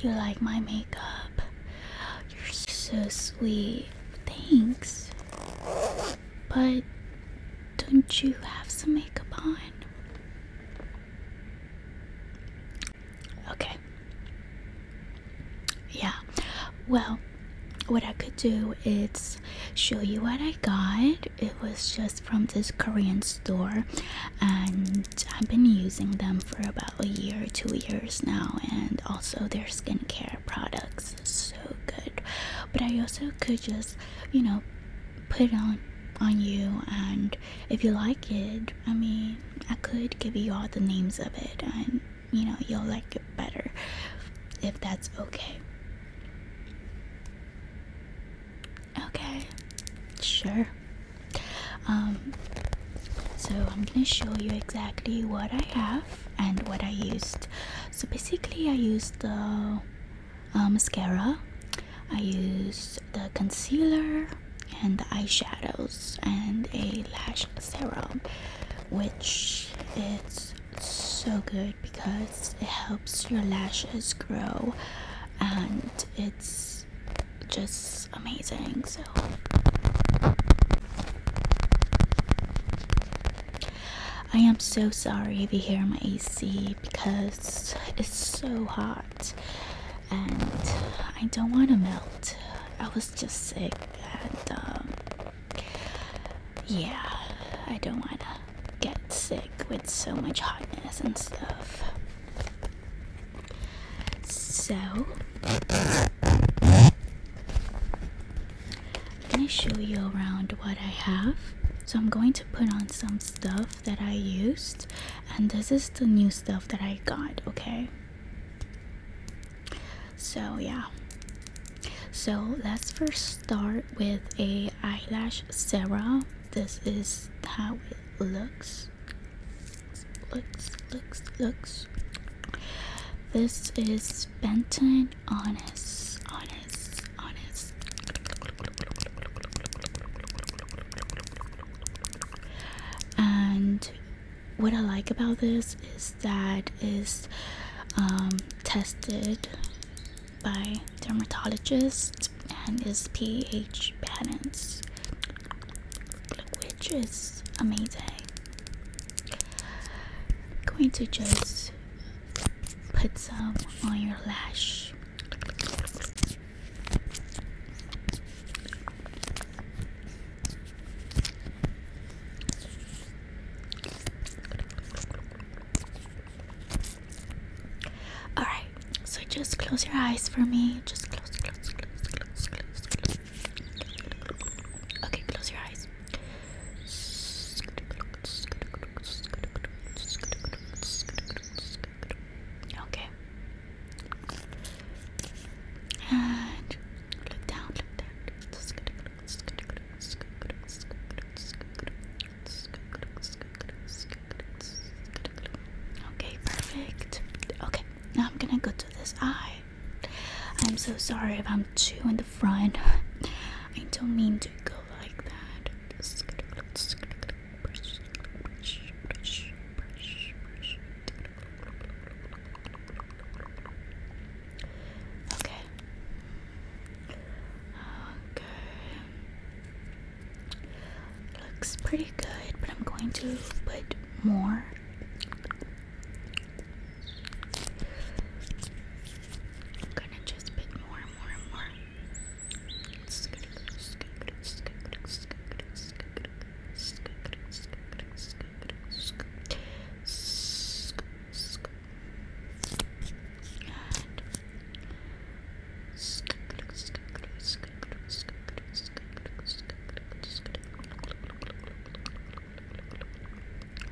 You like my makeup? You're so sweet. Thanks. But don't you have some makeup on? Okay yeah well what i could do is show you what i got it was just from this korean store and i've been using them for about a year two years now and also their skincare products so good but i also could just you know put on on you and if you like it i mean i could give you all the names of it and you know you'll like it better if that's okay okay sure um so i'm gonna show you exactly what i have and what i used so basically i used the uh, mascara i used the concealer and the eyeshadows and a lash serum which it's so good because it helps your lashes grow and it's just amazing so I am so sorry to hear my AC because it's so hot and I don't want to melt. I was just sick and um, yeah, I don't want to get sick with so much hotness and stuff. So, I'm going to show you around what I have. So, I'm going to put on some stuff that I used, and this is the new stuff that I got, okay? So yeah. So let's first start with a eyelash serum. This is how it looks. Looks, looks, looks. This is Benton Honest, Honest, Honest. And what I like about this is that is um, tested by dermatologists and is pH balanced, which is amazing. I'm going to just put some on your lash. All right, so just close your eyes for me. Just close, close, close, close, close, close. Okay, close your eyes. Okay. And Look down, look down. Okay, perfect. Okay, now I'm gonna go to this eye. I'm so sorry if I'm too in the front. I don't mean to go like that. Okay. Okay. Looks pretty good, but I'm going to put more. I'm gonna just put more and more and more.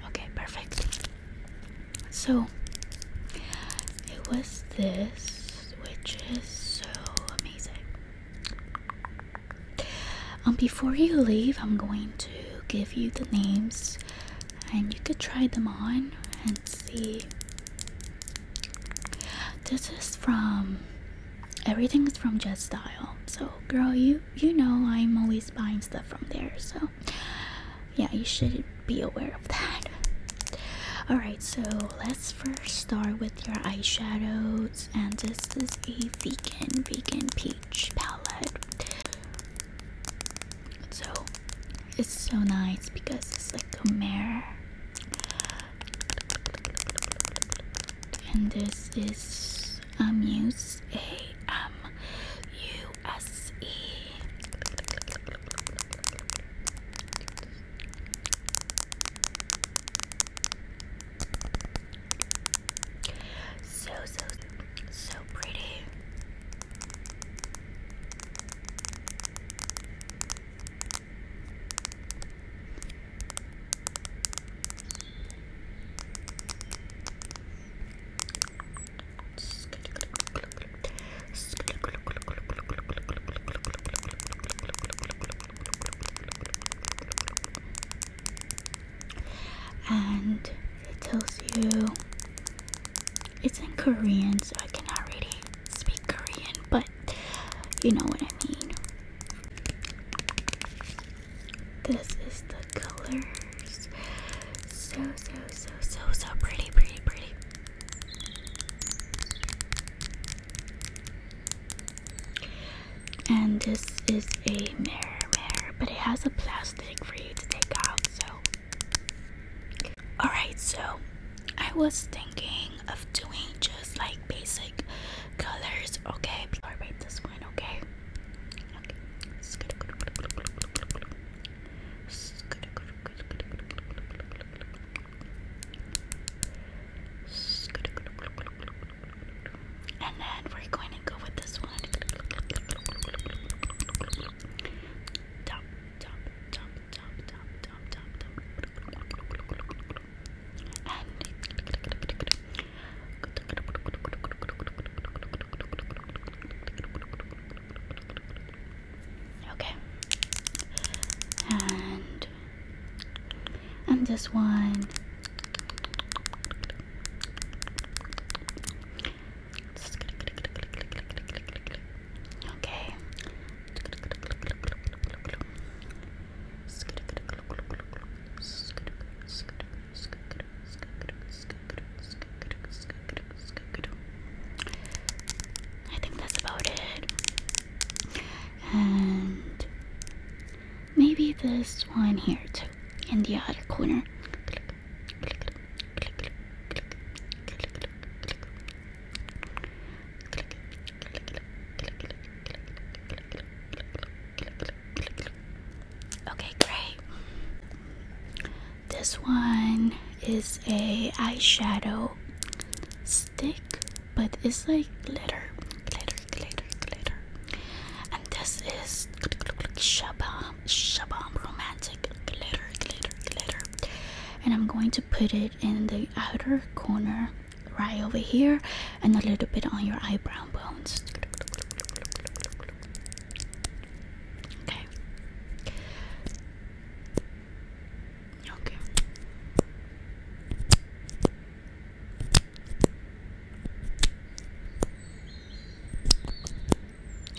Okay, perfect. So it was this, which is so amazing. Um, before you leave, I'm going to give you the names, and you could try them on and see. This is from everything's from Jet Style. So, girl, you you know I'm always buying stuff from there. So, yeah, you should be aware of that. All right, so let's first start with your eyeshadow and this is a vegan, vegan peach palette. So it's so nice because it's like a mirror. And this is Amuse um, A M um, U S E. So, so, so pretty. and it tells you it's in Korean, so I cannot really speak Korean, but you know what I mean. This is the colors. So, so, so, so, so pretty, pretty, pretty. And this is a mirror mirror, but it has a plastic for you to take out, so alright, so I was thinking of doing just like basic colors, okay? Alright, this one, Okay. And then we're going to go with this one. okay. And and this one. Okay. I think that's about it and maybe this one here too in the other corner Okay, great. This one is a eyeshadow stick, but it's like glitter, glitter, glitter, glitter. And this is Shabam, Shabam Romantic Glitter, Glitter, Glitter. And I'm going to put it in the outer corner right over here and a little bit on your eyebrow bones. Okay. Okay.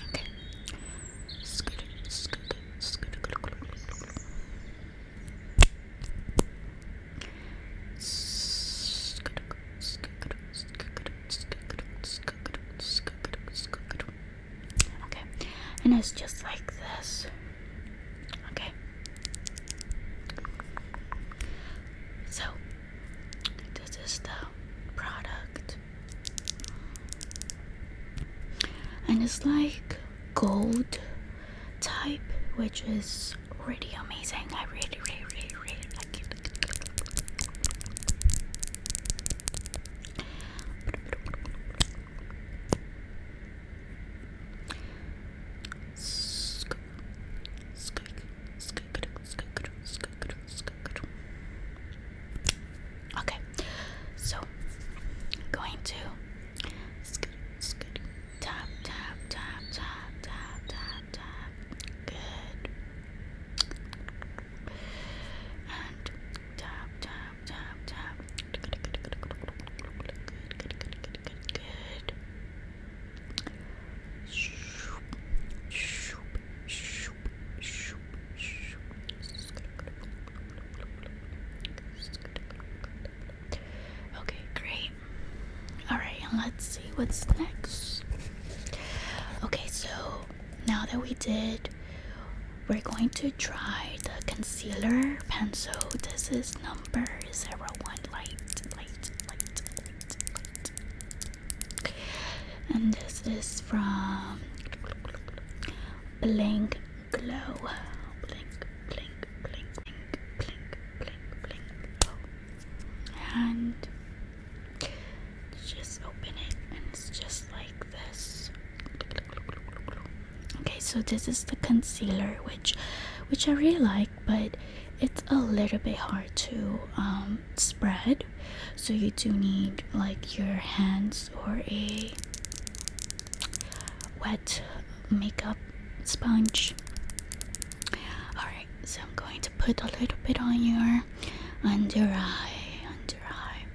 Okay. Scoot, scoot, scoot, scoot, scoot, scoot, scoot, Okay, and it's just like this. Okay. So, this is the product. And it's like gold type, which is really amazing. I really, really, really, really like it. Okay, so I'm going to tap, tap, tap, tap, tap, tap, tap. Good. And tap, tap. Okay, great. Alright, let's see what's next. Okay, so now that we did we're going to try the concealer pencil this is number 01 light and this is from blink glow blink blink blink blink blink blink blink and just open it and it's just like okay so this is the concealer which which i really like but it's a little bit hard to um, spread so you do need like your hands or a wet makeup sponge all right so i'm going to put a little bit on your under eye under eye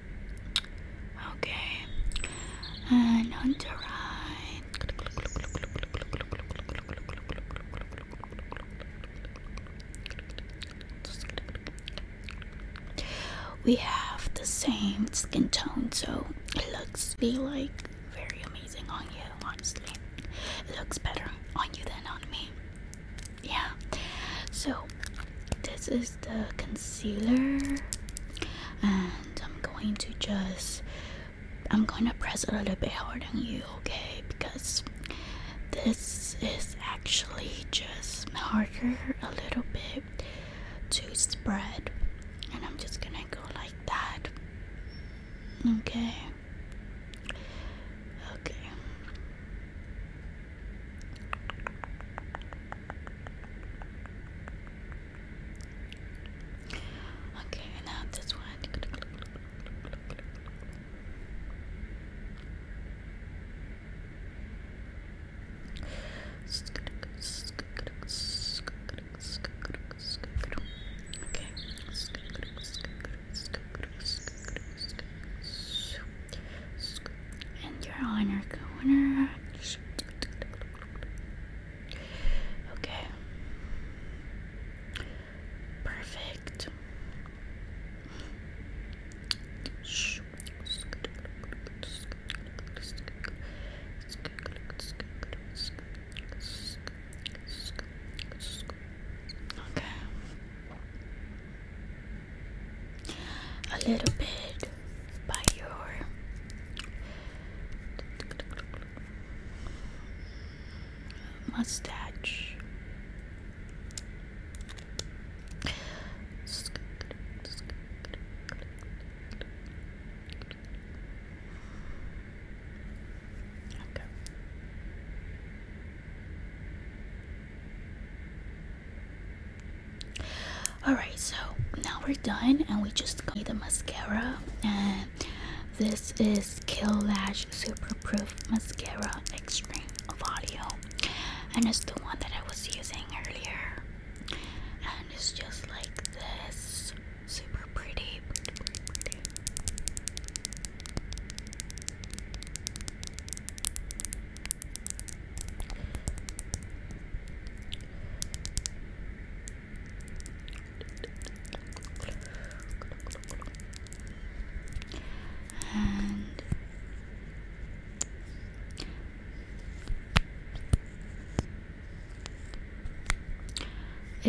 Okay, and uh, on the right. We have the same skin tone, so it looks be like very amazing on you. Honestly, it looks better on you than on me. Yeah. So this is the concealer and I'm going to just I'm gonna press a little bit harder on you okay because this is actually just harder a little bit to spread and I'm just gonna go like that okay okay Okay, now this one. Okay and you're on your corner. Okay. Perfect. Okay a little bit by your mustache. Alright, so now we're done and we just got the mascara and this is Kill Lash Super Proof Mascara Extreme Volume, and it's the one that I was using earlier and it's just like this super pretty. And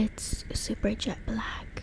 it's super jet black.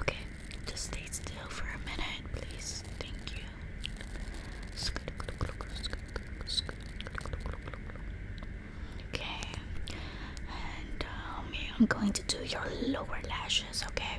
Okay, just stay still for a minute, please. Thank you. Okay, and um, I'm going to do your lower lashes, okay?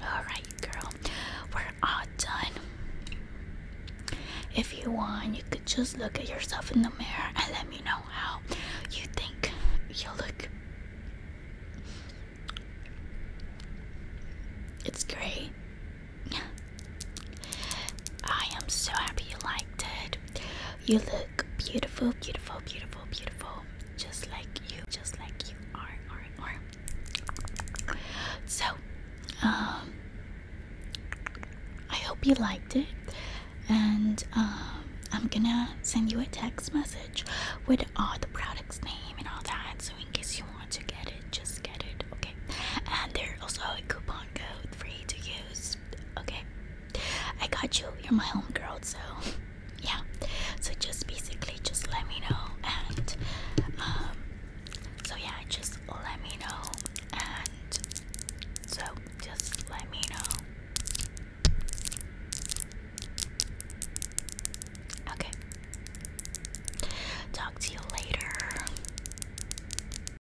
Alright, girl, we're all done. If you want, you could just look at yourself in the mirror and let me know how you think you look. It's great. I am so happy you liked it. You look beautiful, beautiful, beautiful, beautiful. Just like you, just like you are, are, are. So, um, I hope you liked it. And um, I'm gonna send you a text message with all the products' name and all that. So, in case you want to get it, just get it, okay? And there's also a coupon code for you to use okay i got you you're my homegirl so yeah so just basically just let me know and um so yeah just let me know and so just let me know okay talk to you later